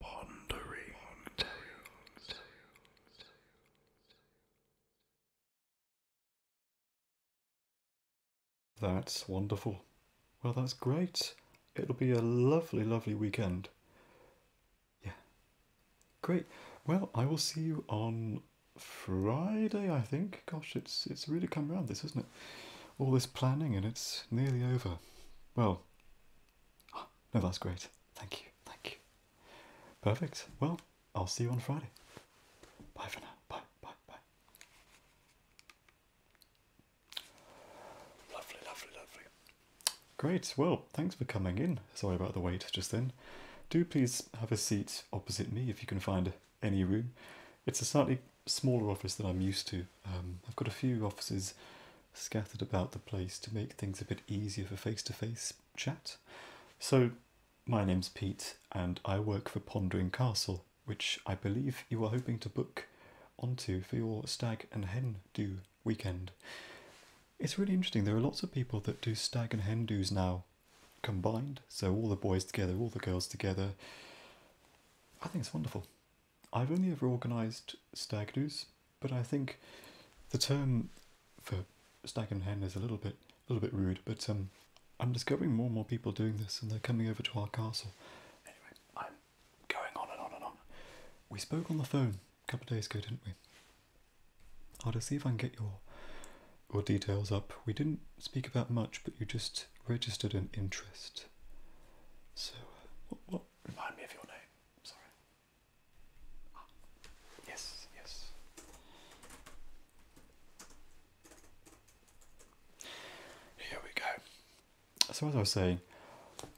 Pondering Tales. That's wonderful. Well, that's great. It'll be a lovely, lovely weekend. Yeah. Great. Well, I will see you on Friday, I think. Gosh, it's it's really come around, this, isn't it? All this planning and it's nearly over. Well, Oh, no, that's great. Thank you. Thank you. Perfect. Well, I'll see you on Friday. Bye for now. Bye, bye, bye. Lovely, lovely, lovely. Great. Well, thanks for coming in. Sorry about the wait just then. Do please have a seat opposite me if you can find any room. It's a slightly smaller office than I'm used to. Um, I've got a few offices scattered about the place to make things a bit easier for face to face chat. So, my name's Pete, and I work for Pondering Castle, which I believe you are hoping to book onto for your stag and hen do weekend. It's really interesting, there are lots of people that do stag and hen do's now combined, so all the boys together, all the girls together. I think it's wonderful. I've only ever organised stag do's, but I think the term for stag and hen is a little bit a little bit rude. But um, I'm discovering more and more people doing this, and they're coming over to our castle. Anyway, I'm going on and on and on. We spoke on the phone a couple of days ago, didn't we? I'll just see if I can get your your details up. We didn't speak about much, but you just registered an interest. So, what? Remind me of your name sorry. Ah. Yes, yes. Here we go. So, as I was saying,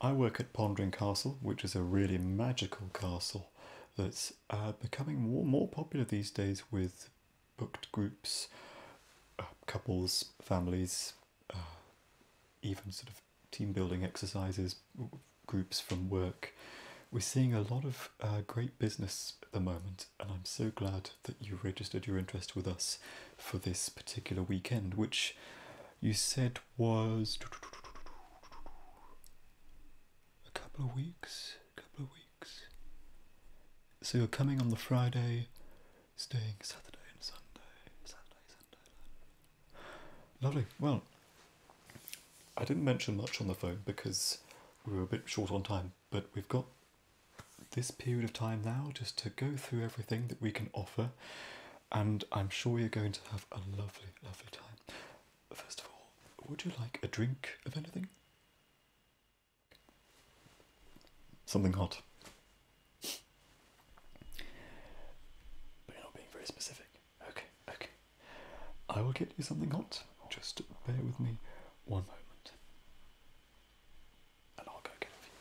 I work at Pondering Castle, which is a really magical castle that's uh, becoming more, more popular these days with booked groups, uh, couples, families, uh, even sort of team building exercises, groups from work. We're seeing a lot of uh, great business at the moment, and I'm so glad that you registered your interest with us for this particular weekend, which you said was a couple of weeks. couple of weeks. So you're coming on the Friday, staying Saturday and Sunday, Saturday, Sunday. Lovely. Well, I didn't mention much on the phone because we were a bit short on time, but we've got this period of time now just to go through everything that we can offer, and I'm sure you're going to have a lovely, lovely time. First of all, would you like a drink of anything? Something hot. But you're not being very specific. Okay, okay. I will get you something hot. Just bear with me one moment. And I'll go get it for you.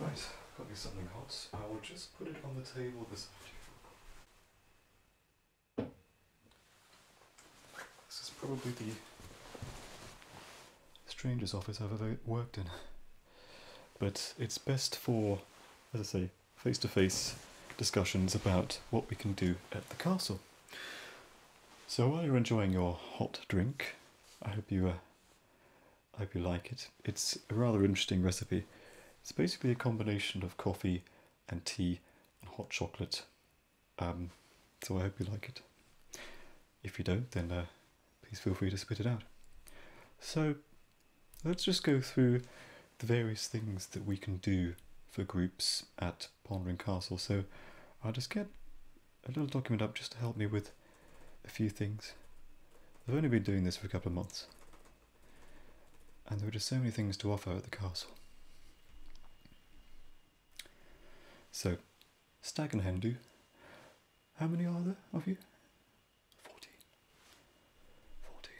Right, got me something hot. I will just put it on the table beside you. This is probably the strangest office I've ever worked in. But it's best for, as I say, face to face discussions about what we can do at the castle. So while you're enjoying your hot drink, I hope you, uh, I hope you like it. It's a rather interesting recipe. It's basically a combination of coffee and tea and hot chocolate. Um, so I hope you like it. If you don't, then uh, please feel free to spit it out. So let's just go through the various things that we can do for groups at Pondering Castle. So I'll just get a little document up just to help me with a few things. I've only been doing this for a couple of months and there are just so many things to offer at the castle. So, Stag and Hen do how many are there of you? 14. 14.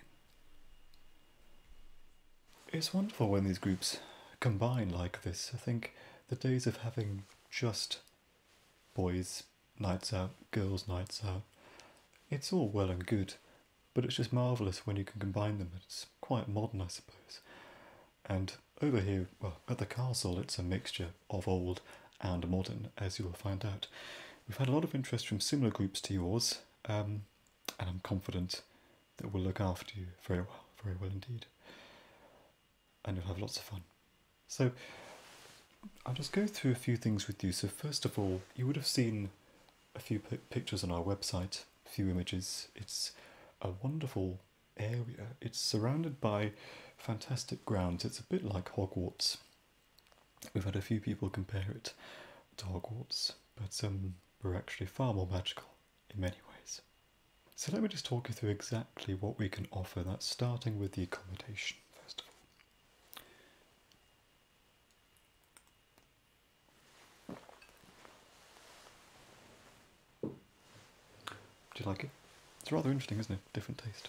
It's wonderful when these groups combine like this. I think the days of having just boys' nights out, girls' nights out, it's all well and good, but it's just marvellous when you can combine them. It's quite modern, I suppose. And over here, well, at the castle, it's a mixture of old and modern, as you will find out. We've had a lot of interest from similar groups to yours, um, and I'm confident that we'll look after you very well, very well indeed. And you'll have lots of fun. So, I'll just go through a few things with you. So, first of all, you would have seen a few pictures on our website, a few images. It's a wonderful area. It's surrounded by fantastic grounds. It's a bit like Hogwarts. We've had a few people compare it to Hogwarts, but um, we're actually far more magical in many ways. So let me just talk you through exactly what we can offer. That's starting with the accommodation, first of all. Do you like it? It's rather interesting, isn't it? Different taste.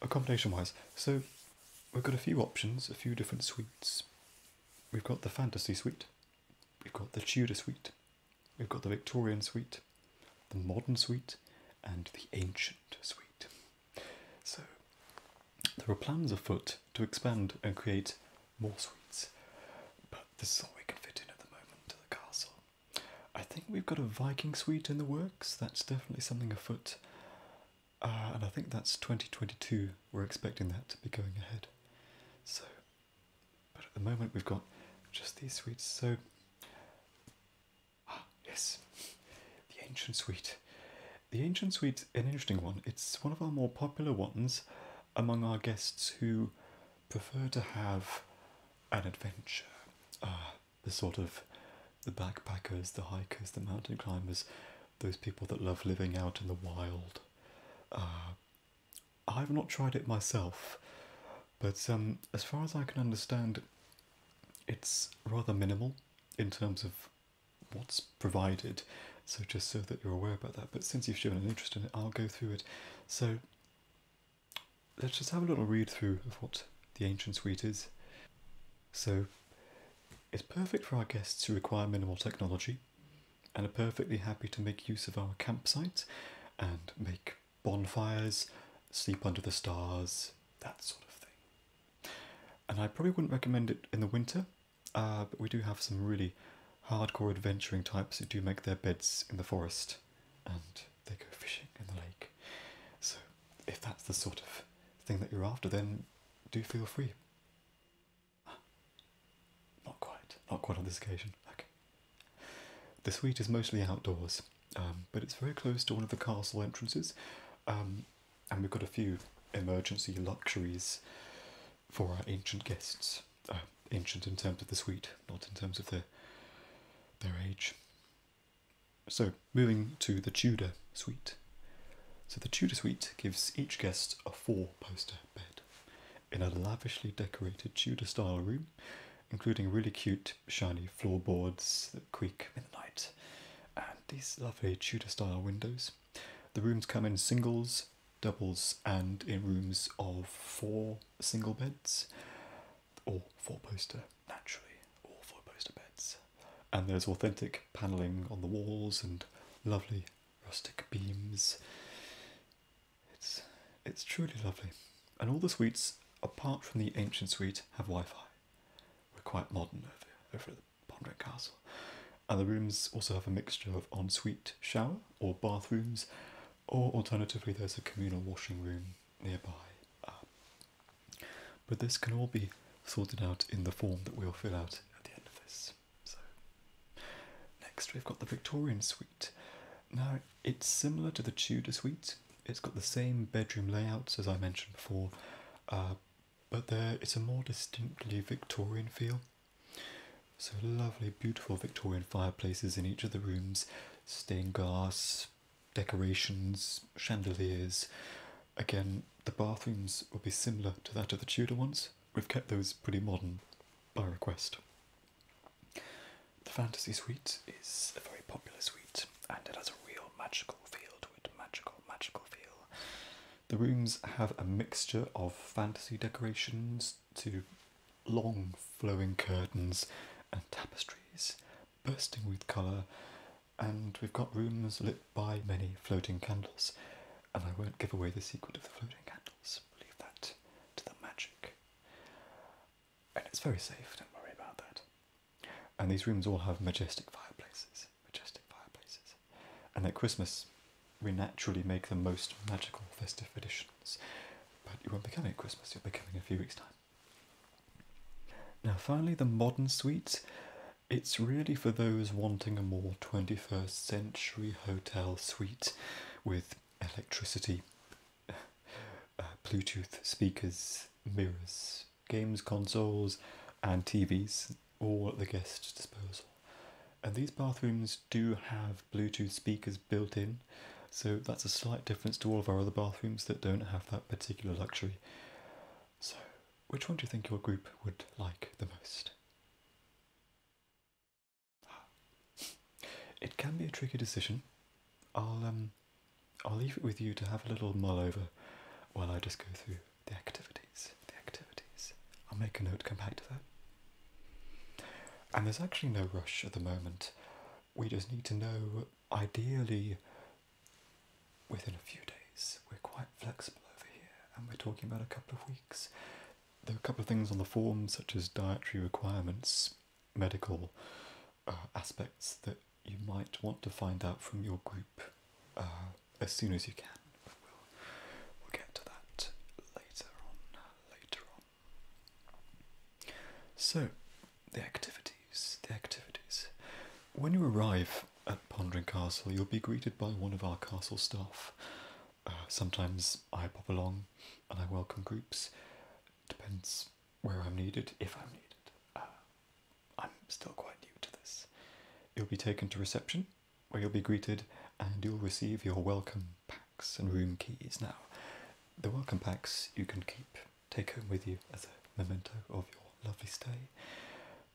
Accommodation wise, so we've got a few options, a few different suites. We've got the Fantasy Suite, we've got the Tudor Suite, we've got the Victorian Suite, the Modern Suite, and the Ancient Suite. So there are plans afoot to expand and create more suites, but this is all we can fit in at the moment to the castle. I think we've got a Viking suite in the works. That's definitely something afoot. Uh, and I think that's 2022. We're expecting that to be going ahead. So, but at the moment we've got just these suites. So, ah, yes, the ancient suite. The ancient suite, an interesting one. It's one of our more popular ones among our guests who prefer to have an adventure. Uh, the sort of the backpackers, the hikers, the mountain climbers, those people that love living out in the wild. Uh, I've not tried it myself, but um, as far as I can understand, it's rather minimal in terms of what's provided. So just so that you're aware about that. But since you've shown an interest in it, I'll go through it. So let's just have a little read through of what the ancient suite is. So, it's perfect for our guests who require minimal technology and are perfectly happy to make use of our campsite and make bonfires, sleep under the stars, that sort of thing. And I probably wouldn't recommend it in the winter, uh, but we do have some really hardcore adventuring types who do make their beds in the forest and they go fishing in the lake. So, if that's the sort of thing that you're after, then do feel free. Ah, not quite, not quite on this occasion. Okay. The suite is mostly outdoors, um, but it's very close to one of the castle entrances, um, and we've got a few emergency luxuries for our ancient guests. Uh, ancient in terms of the suite, not in terms of their their age. So, moving to the Tudor suite. So, the Tudor suite gives each guest a four poster bed in a lavishly decorated Tudor style room, including really cute, shiny floorboards that creak in the night, and these lovely Tudor style windows. The rooms come in singles, doubles, and in rooms of four single beds or four poster naturally, or four poster beds. And there's authentic panelling on the walls and lovely rustic beams. It's it's truly lovely. And all the suites, apart from the ancient suite, have Wi-Fi. We're quite modern over, over at the Ponderet Castle. And the rooms also have a mixture of ensuite shower or bathrooms, or alternatively there's a communal washing room nearby. Um, but this can all be sorted out in the form that we'll fill out at the end of this. So, next we've got the Victorian suite. Now, it's similar to the Tudor suite. It's got the same bedroom layouts as I mentioned before, uh, but there it's a more distinctly Victorian feel. So lovely, beautiful Victorian fireplaces in each of the rooms, stained glass, decorations, chandeliers. Again, the bathrooms will be similar to that of the Tudor ones. We've kept those pretty modern by request. The Fantasy Suite is a very popular suite and it has a real magical feel to it. Magical, magical feel. The rooms have a mixture of fantasy decorations to long flowing curtains and tapestries bursting with colour, and we've got rooms lit by many floating candles. And I won't give away the secret of the floating candles, leave that to the magic. And it's very safe, don't worry about that. And these rooms all have majestic fireplaces, majestic fireplaces. And at Christmas, we naturally make the most magical festive additions. But you won't be coming at Christmas, you'll be coming in a few weeks' time. Now, finally, the modern suite. It's really for those wanting a more 21st century hotel suite with electricity, uh, Bluetooth speakers, mirrors, games consoles, and TVs, all at the guest's disposal. And these bathrooms do have Bluetooth speakers built in, so that's a slight difference to all of our other bathrooms that don't have that particular luxury. So, which one do you think your group would like the most? Ah. It can be a tricky decision. I'll um, I'll leave it with you to have a little mull over while I just go through the activities. The activities. I'll make a note. Come back to that. And there's actually no rush at the moment. We just need to know, ideally, within a few days. We're quite flexible over here, and we're talking about a couple of weeks. There are a couple of things on the forms, such as dietary requirements, medical uh, aspects that you might want to find out from your group uh, as soon as you can. we'll, we'll get to that later on. Later on. So, the activity. The activities. When you arrive at Pondering Castle, you'll be greeted by one of our castle staff. Uh, sometimes I pop along and I welcome groups. Depends where I'm needed, if I'm needed. Uh, I'm still quite new to this. You'll be taken to reception, where you'll be greeted and you'll receive your welcome packs and room keys. Now, the welcome packs you can keep take home with you as a memento of your lovely stay.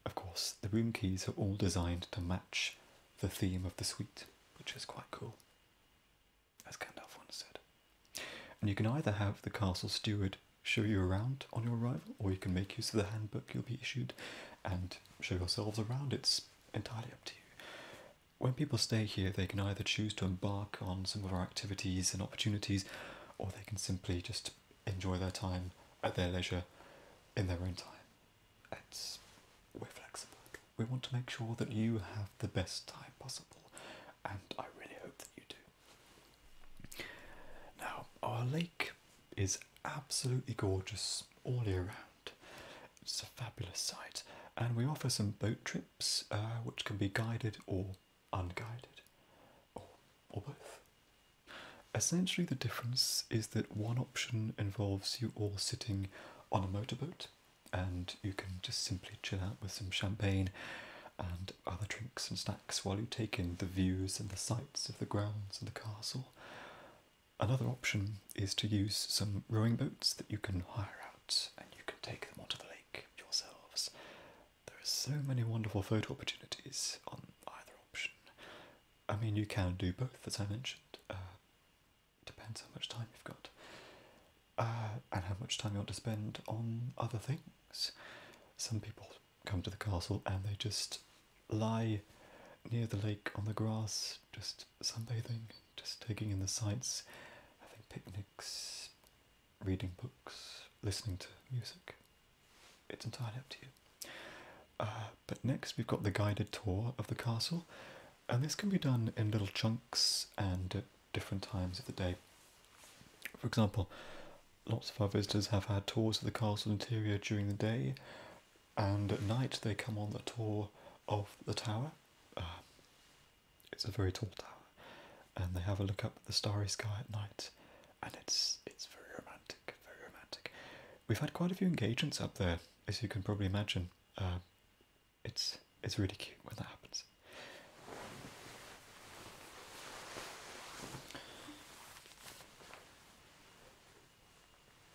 Of course, the room keys are all designed to match the theme of the suite, which is quite cool, as Gandalf once said. And you can either have the castle steward show you around on your arrival, or you can make use of the handbook you'll be issued and show yourselves around. It's entirely up to you. When people stay here, they can either choose to embark on some of our activities and opportunities, or they can simply just enjoy their time at their leisure in their own time. It's, we flexible. We want to make sure that you have the best time possible, and I really hope that you do. Now, our lake is absolutely gorgeous all year round. It's a fabulous sight, and we offer some boat trips uh, which can be guided or unguided, or, or both. Essentially, the difference is that one option involves you all sitting on a motorboat and you can just simply chill out with some champagne and other drinks and snacks while you take in the views and the sights of the grounds and the castle. Another option is to use some rowing boats that you can hire out and you can take them onto the lake yourselves there are so many wonderful photo opportunities on either option. I mean, you can do both, as I mentioned. Uh, depends how much time you've got uh, and how much time you want to spend on other things. Some people come to the castle and they just lie near the lake on the grass, just sunbathing, just taking in the sights, having picnics, reading books, listening to music. It's entirely up to you. Uh, but next, we've got the guided tour of the castle, and this can be done in little chunks and at different times of the day. For example, lots of our visitors have had tours of the castle interior during the day, and at night they come on the tour of the tower. Uh, it's a very tall tower, and they have a look up at the starry sky at night, and it's it's very romantic, very romantic. We've had quite a few engagements up there, as you can probably imagine. Uh, it's it's really cute when that happens.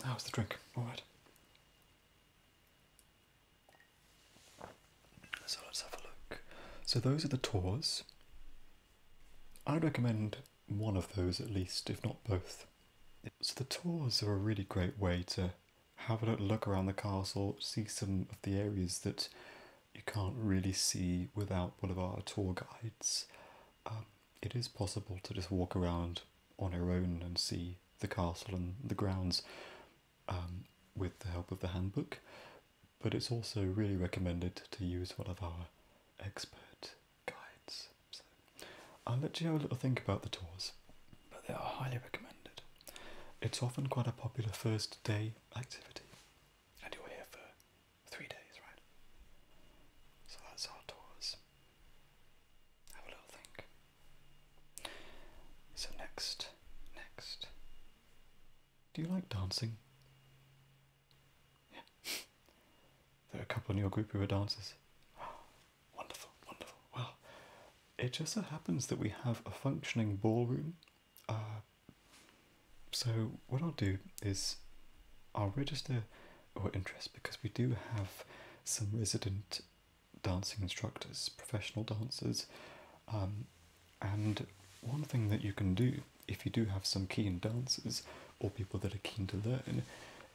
How's the drink? All right. So let's have a look. So those are the tours. I'd recommend one of those at least, if not both. So the tours are a really great way to have a look around the castle, see some of the areas that you can't really see without one of our tour guides. Um, it is possible to just walk around on your own and see the castle and the grounds um, with the help of the handbook, but it's also really recommended to use one of our expert guides. I'll let you have a little think about the tours, but they are highly recommended. It's often quite a popular first day activity, and you're here for three days, right? So that's our tours. Have a little think. So next, next, do you like dancing? there are a couple in your group who are dancers. wonderful, wonderful. Well, it just so happens that we have a functioning ballroom. Uh, so, what I'll do is I'll register your interest because we do have some resident dancing instructors, professional dancers. Um, and one thing that you can do if you do have some keen dancers or people that are keen to learn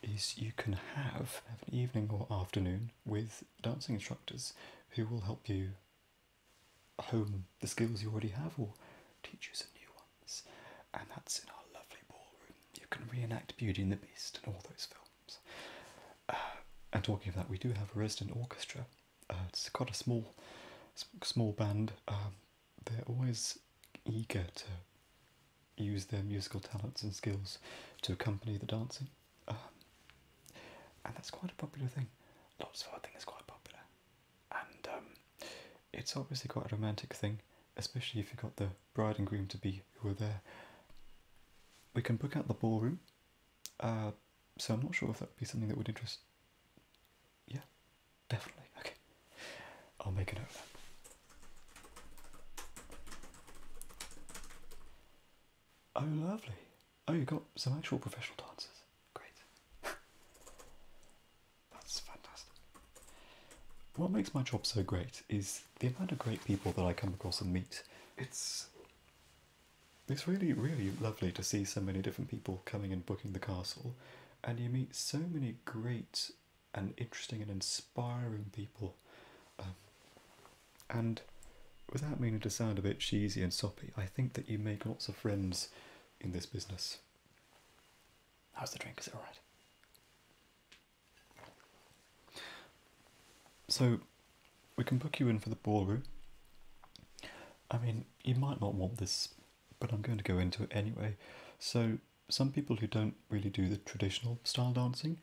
is you can have an evening or afternoon with dancing instructors who will help you hone the skills you already have or teach you some new ones. And that's in our lovely ballroom. You can reenact Beauty and the Beast and all those films. Uh, and talking of that, we do have a resident orchestra uh, it's got a small, small band. Um, they're always eager to use their musical talents and skills to accompany the dancing, um, and that's quite a popular thing. Lots of I think, is quite popular, and um, it's obviously quite a romantic thing, especially if you've got the bride and groom to be who are there. We can book out the ballroom. Uh, so I'm not sure if that would be something that would interest yeah, definitely. Okay, I'll make a note of that. Oh, lovely. Oh, you got some actual professional dancers. Great. That's fantastic. What makes my job so great is the amount of great people that I come across and meet. It's it's really, really lovely to see so many different people coming and booking the castle and you meet so many great and interesting and inspiring people. Um, and without meaning to sound a bit cheesy and soppy, I think that you make lots of friends in this business. How's the drink? Is it alright? So, we can book you in for the ballroom. I mean, you might not want this but I'm going to go into it anyway. So some people who don't really do the traditional style dancing,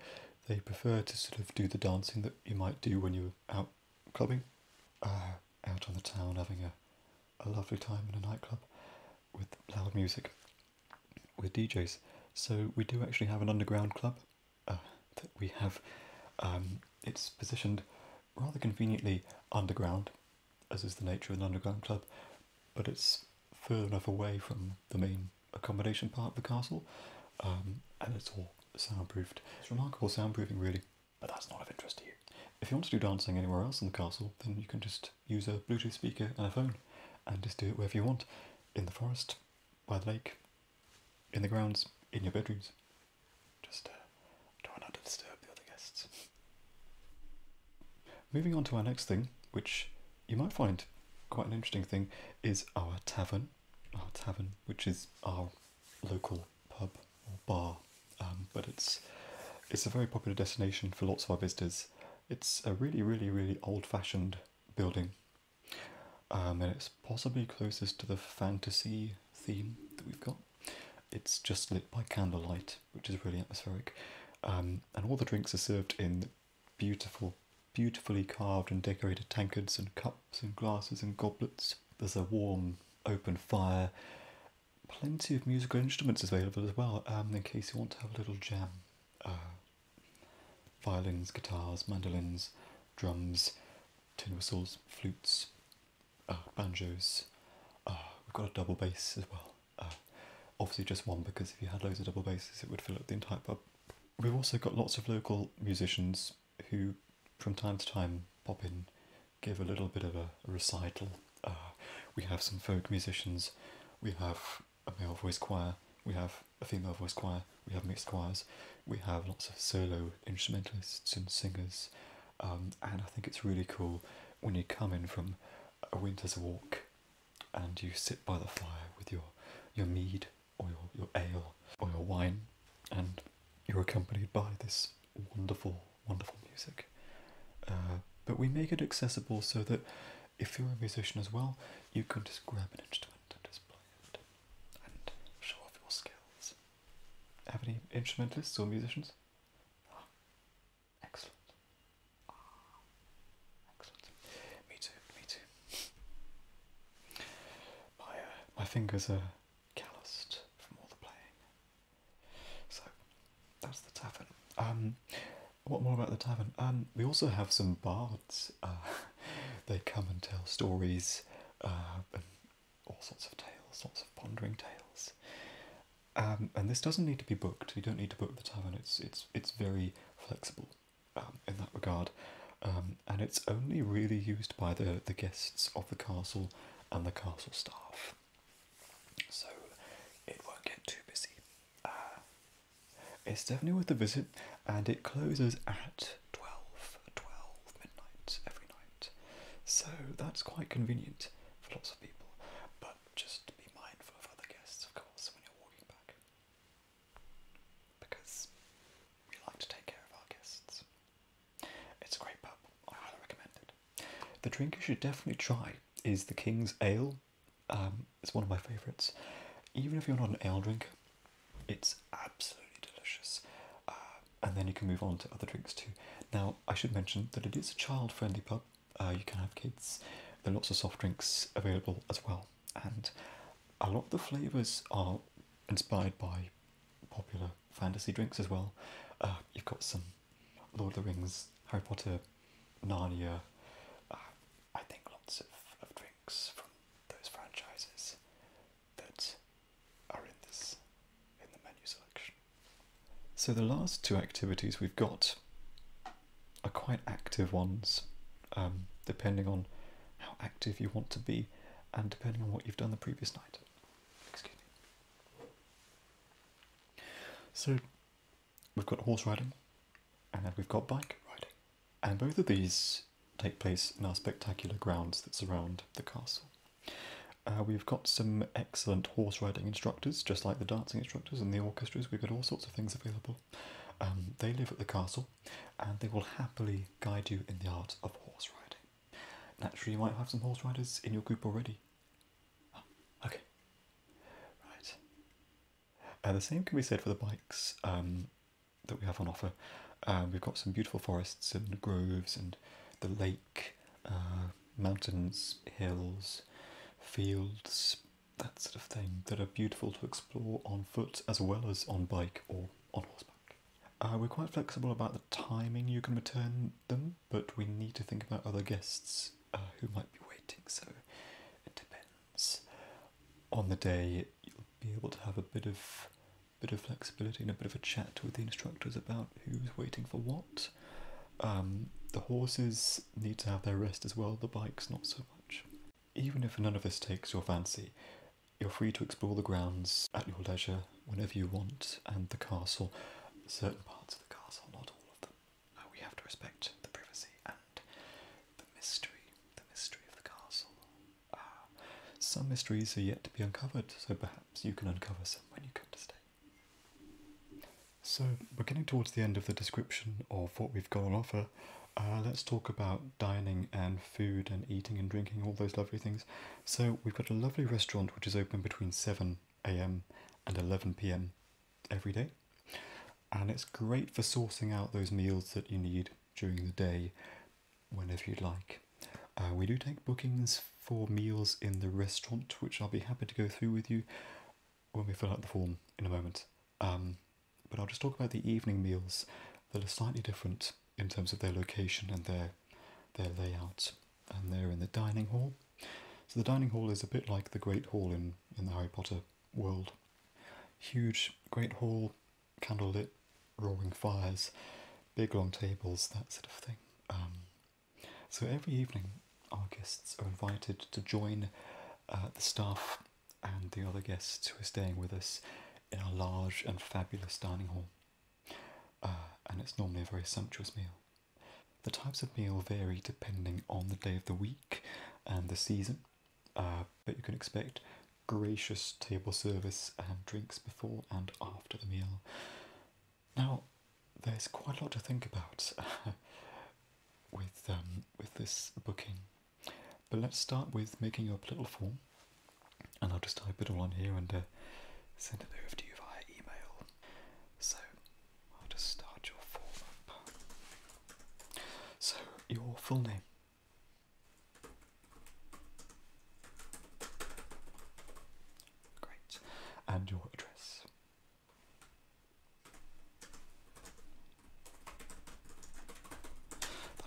they prefer to sort of do the dancing that you might do when you're out clubbing, uh, out on the town having a, a lovely time in a nightclub with loud music, with DJs. So we do actually have an underground club uh, that we have. Um, it's positioned rather conveniently underground as is the nature of an underground club, but it's further enough away from the main accommodation part of the castle, um, and it's all soundproofed. It's remarkable soundproofing, really, but that's not of interest to you. If you want to do dancing anywhere else in the castle, then you can just use a Bluetooth speaker and a phone, and just do it wherever you want, in the forest, by the lake, in the grounds, in your bedrooms. Just uh, try not the other guests. Moving on to our next thing, which you might find quite an interesting thing, is our tavern. Our tavern, which is our local pub or bar, um, but it's it's a very popular destination for lots of our visitors. It's a really, really, really old-fashioned building, um, and it's possibly closest to the fantasy theme that we've got. It's just lit by candlelight, which is really atmospheric. Um, and all the drinks are served in beautiful, beautifully carved and decorated tankards and cups and glasses and goblets. There's a warm, open fire. Plenty of musical instruments available as well, um, in case you want to have a little jam. Uh, violins, guitars, mandolins, drums, tin whistles, flutes, uh, banjos. Uh, we've got a double bass as well. Uh, obviously, just one because if you had loads of double basses, it would fill up the entire pub. We've also got lots of local musicians who, from time to time, pop in, give a little bit of a, recital. Uh, we have some folk musicians, we have a male voice choir, we have a female voice choir, we have mixed choirs, we have lots of solo instrumentalists and singers, um, and I think it's really cool when you come in from a winter's walk and you sit by the fire with your, your mead or your, your ale or your wine and you're accompanied by this wonderful, wonderful music. Uh, but we make it accessible so that if you're a musician as well, you can just grab an instrument and just play it and show off your skills. Have any instrumentalists or musicians? excellent. excellent. Me too. Me too. my uh, my fingers are calloused from all the playing. So that's the tavern. Um, what more about the tavern? Um, we also have some bards. Uh, they come and tell stories. Uh, all sorts of tales, lots of pondering tales. Um, and this doesn't need to be booked. You don't need to book the tavern. It's it's it's very flexible um, in that regard, um, and it's only really used by the the guests of the castle and the castle staff. So it won't get too busy. Uh, it's definitely worth a visit, and it closes at 12, midnight every night. So that's quite convenient for lots of people, but just be mindful of other guests, of course, when you're walking back. Because we like to take care of our guests. It's a great pub, I highly recommend it. The drink you should definitely try is the King's Ale. Um, it's one of my favourites. Even if you're not an ale drink, it's absolutely delicious. Uh, and then you can move on to other drinks too. Now, I should mention that it is a child friendly pub, uh, you can have kids, there are lots of soft drinks available as well, and a lot of the flavours are inspired by popular fantasy drinks as well. Uh, you've got some Lord of the Rings, Harry Potter, Narnia, uh, I think lots of, of drinks from those franchises that are in this in the menu selection. So the last two activities we've got are quite active ones, um, depending on how active you want to be and depending on what you've done the previous night. Excuse me. So we've got horse riding and we've got bike riding. And both of these take place in our spectacular grounds that surround the castle. Uh, we've got some excellent horse riding instructors, just like the dancing instructors and the orchestras. We've got all sorts of things available. Um, they live at the castle and they will happily guide you in the art of horse riding. Naturally, you might have some horse riders in your group already. Oh, okay. Right. Uh, the same can be said for the bikes um, that we have on offer. Uh, we've got some beautiful forests and groves and the lake uh, mountains, hills, fields, that sort of thing, that are beautiful to explore on foot as well as on bike or on horseback. Uh, we're quite flexible about the timing you can return them, but we need to think about other guests uh, who might be waiting, so it depends. On the day, you'll be able to have a bit of bit of flexibility and a bit of a chat with the instructors about who's waiting for what um, the horses need to have their rest as well, the bikes not so much. Even if none of this takes your fancy, you're free to explore the grounds at your leisure whenever you want, and the castle, certain parts of the castle, not all of them. Uh, we have to respect the privacy and the mystery, the mystery of the castle. Uh, some mysteries are yet to be uncovered, so perhaps you can uncover some when you come to stay. So we're getting towards the end of the description of what we've got on offer. Uh, let's talk about dining and food and eating and drinking, all those lovely things. So we've got a lovely restaurant which is open between 7am and 11pm every day. And it's great for sourcing out those meals that you need during the day whenever you'd like. Uh, we do take bookings for meals in the restaurant, which I'll be happy to go through with you when we fill out the form in a moment. Um, but I'll just talk about the evening meals that are slightly different in terms of their location and their their layout. And they're in the dining hall. So the dining hall is a bit like the Great Hall in, in the Harry Potter world. Huge Great Hall, candlelit, roaring fires, big long tables, that sort of thing. Um, so every evening, our guests are invited to join uh, the staff and the other guests who are staying with us in a large and fabulous dining hall. Uh, and it's normally a very sumptuous meal. The types of meal vary depending on the day of the week and the season, uh, but you can expect gracious table service and drinks before and after the meal. Now, there's quite a lot to think about with um, with this booking, but let's start with making up a little form, and I'll just type it all on here and uh, send it over to you via email. So I'll just start your form So your full name. Great, and your address.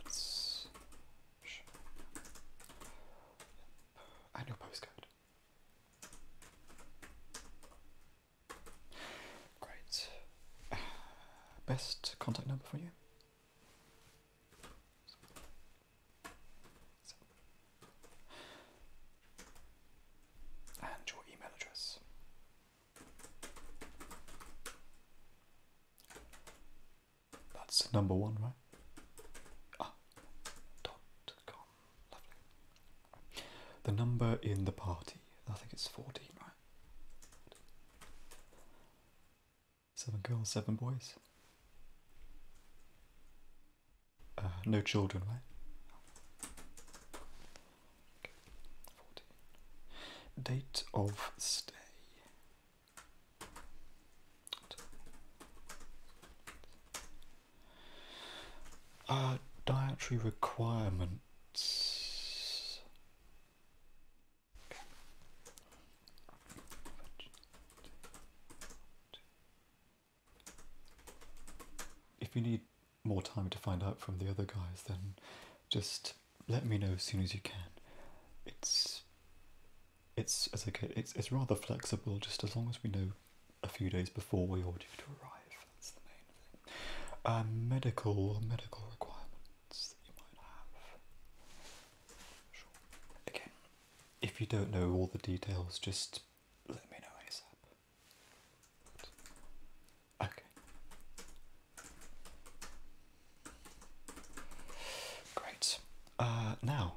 That's. I postcode. Great. best contact number for you? And your email address. That's number one, right? Ah, dot com. Lovely. The number in the party, I think it's 14, right? Seven girls, seven boys. Uh, no children, right? Date of stay. Uh, dietary requirements. If you need more time to find out from the other guys, then just let me know as soon as you can. It's it's as I get, it's it's rather flexible. Just as long as we know a few days before we are due to arrive, that's the main thing. Um, medical medical requirements that you might have. Sure. Again, if you don't know all the details, just let me know ASAP. Okay. Great. Uh, now,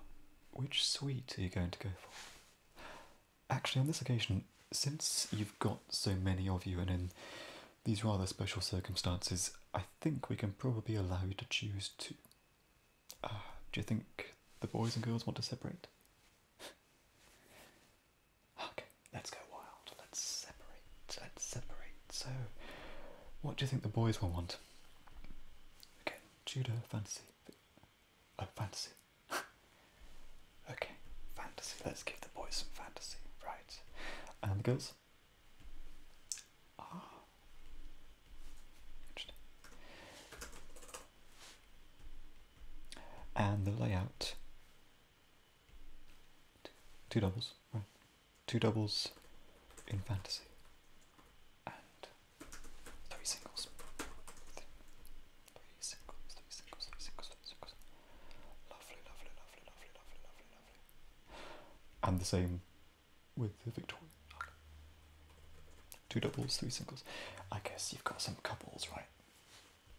which suite are you going to go for? Actually, on this occasion, since you've got so many of you and in these rather special circumstances, I think we can probably allow you to choose two do you think the boys and girls want to separate? okay, let's go wild. Let's separate. Let's separate. So, what do you think the boys will want? Okay, judo, fantasy. Oh, fantasy. okay, fantasy. Let's give the boys some fantasy, right? And the girls? Ah and the layout two doubles right two doubles in fantasy and three singles three, three singles three singles three singles three singles lovely lovely lovely lovely lovely lovely lovely and the same with the victoria okay. Two doubles, three singles. I guess you've got some couples, right?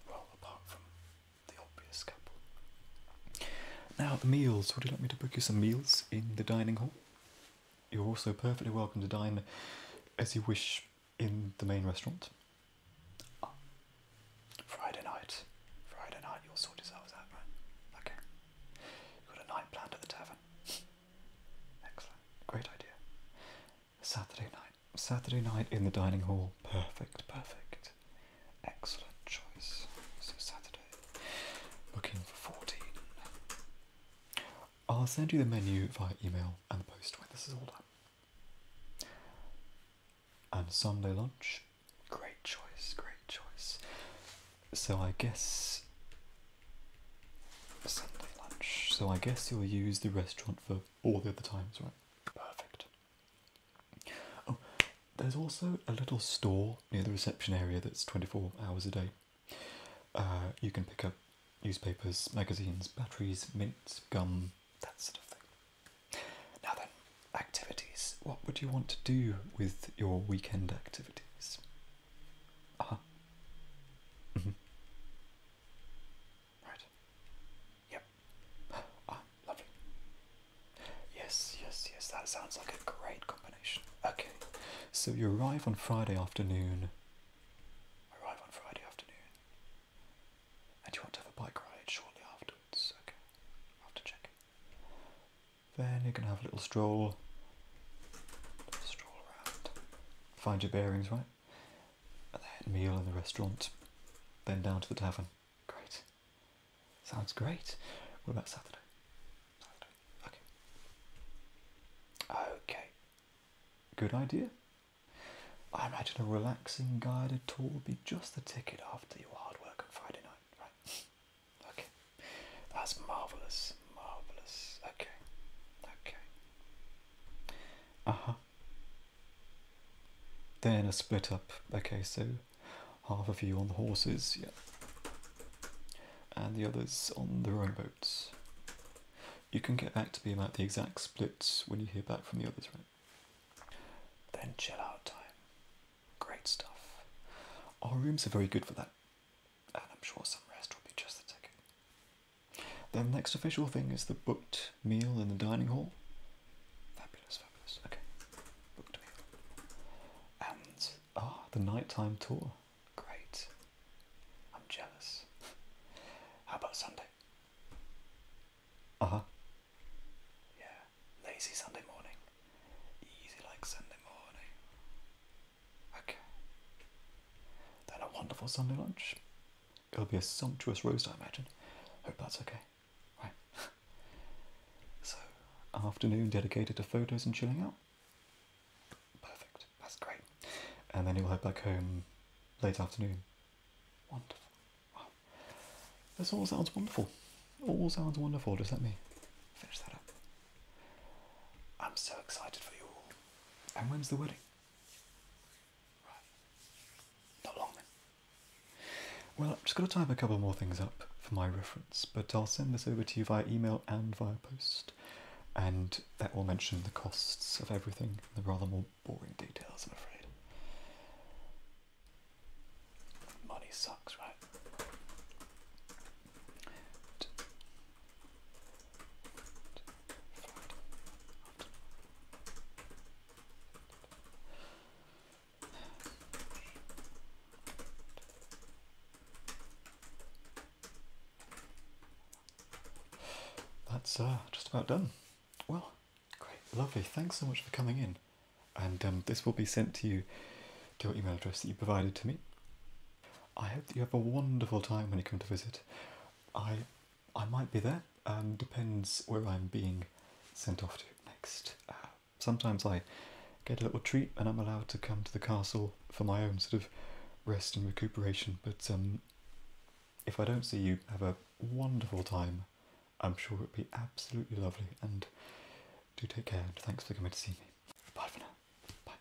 Well, apart from the obvious couple. Now, the meals. Would you like me to book you some meals in the dining hall? You're also perfectly welcome to dine as you wish in the main restaurant. Ah. Friday night. Friday night, you'll sort yourselves out, right? Okay. got a night planned at the tavern. Excellent. Great idea. Saturday night. Saturday night in the dining hall. Perfect, perfect. Excellent choice. So Saturday. Booking for 14. I'll send you the menu via email and the post when this is all done. And Sunday lunch. Great choice, great choice. So I guess Sunday lunch. So I guess you'll use the restaurant for all the other times, right? Perfect. Oh, there's also a little store near the reception area that's 24 hours a day. Uh, you can pick up newspapers, magazines, batteries, mints, gum, that sort of thing. Now then, activities. What would you want to do with your weekend activities? Uh Right. Yep. Ah, lovely. Yes, yes, yes, that sounds like a great combination. Okay, so you arrive on Friday afternoon. Arrive on Friday afternoon. And you want to have a bike ride shortly afterwards. Okay, after checking. Then you're going to have a little stroll. stroll around. Find your bearings, right? and they had a meal in the restaurant, then down to the tavern. Great. Sounds great. What about Saturday? Saturday. Okay. Okay. Good idea. I imagine a relaxing guided tour would be just the ticket after your hard work on Friday night, right? okay. That's marvellous. Marvellous. Okay. Okay. Uh-huh. Then a split up. Okay, so half of you on the horses, yeah. And the others on the rowing boats. You can get back to me about the exact splits when you hear back from the others, right? Then chill out time. Great stuff. Our rooms are very good for that. And I'm sure some rest will be just the ticket. The next official thing is the booked meal in the dining hall. Fabulous, fabulous. Okay, booked meal. And ah, the nighttime tour. Great. I'm jealous. How about Sunday? Uh huh. Yeah, lazy Sunday morning. Easy like Sunday morning. Okay. Then a wonderful Sunday lunch. It'll be a sumptuous roast, I imagine. Hope that's okay. Right. so, afternoon dedicated to photos and chilling out. Perfect. That's great. And then you'll head back home late afternoon. Wonderful. Wow. This all sounds wonderful. All sounds wonderful. Just let me finish that up. I'm so excited for you all. And when's the wedding? Right. Not long then. Well, I'm just going to type a couple more things up for my reference, but I'll send this over to you via email and via post, and that will mention the costs of everything, the rather more boring details, I'm afraid. Money sucks, right? That's uh, just about done. Well, great, lovely. Thanks so much for coming in. And um, this will be sent to you to your email address that you provided to me. I hope that you have a wonderful time when you come to visit. I I might be there. Um, depends where I'm being sent off to next. Uh, sometimes I get a little treat and I'm allowed to come to the castle for my own sort of rest and recuperation. But um, if I don't see you, have a wonderful time. I'm sure it'll be absolutely lovely. And do take care and thanks for coming to see me. Bye for now. Bye.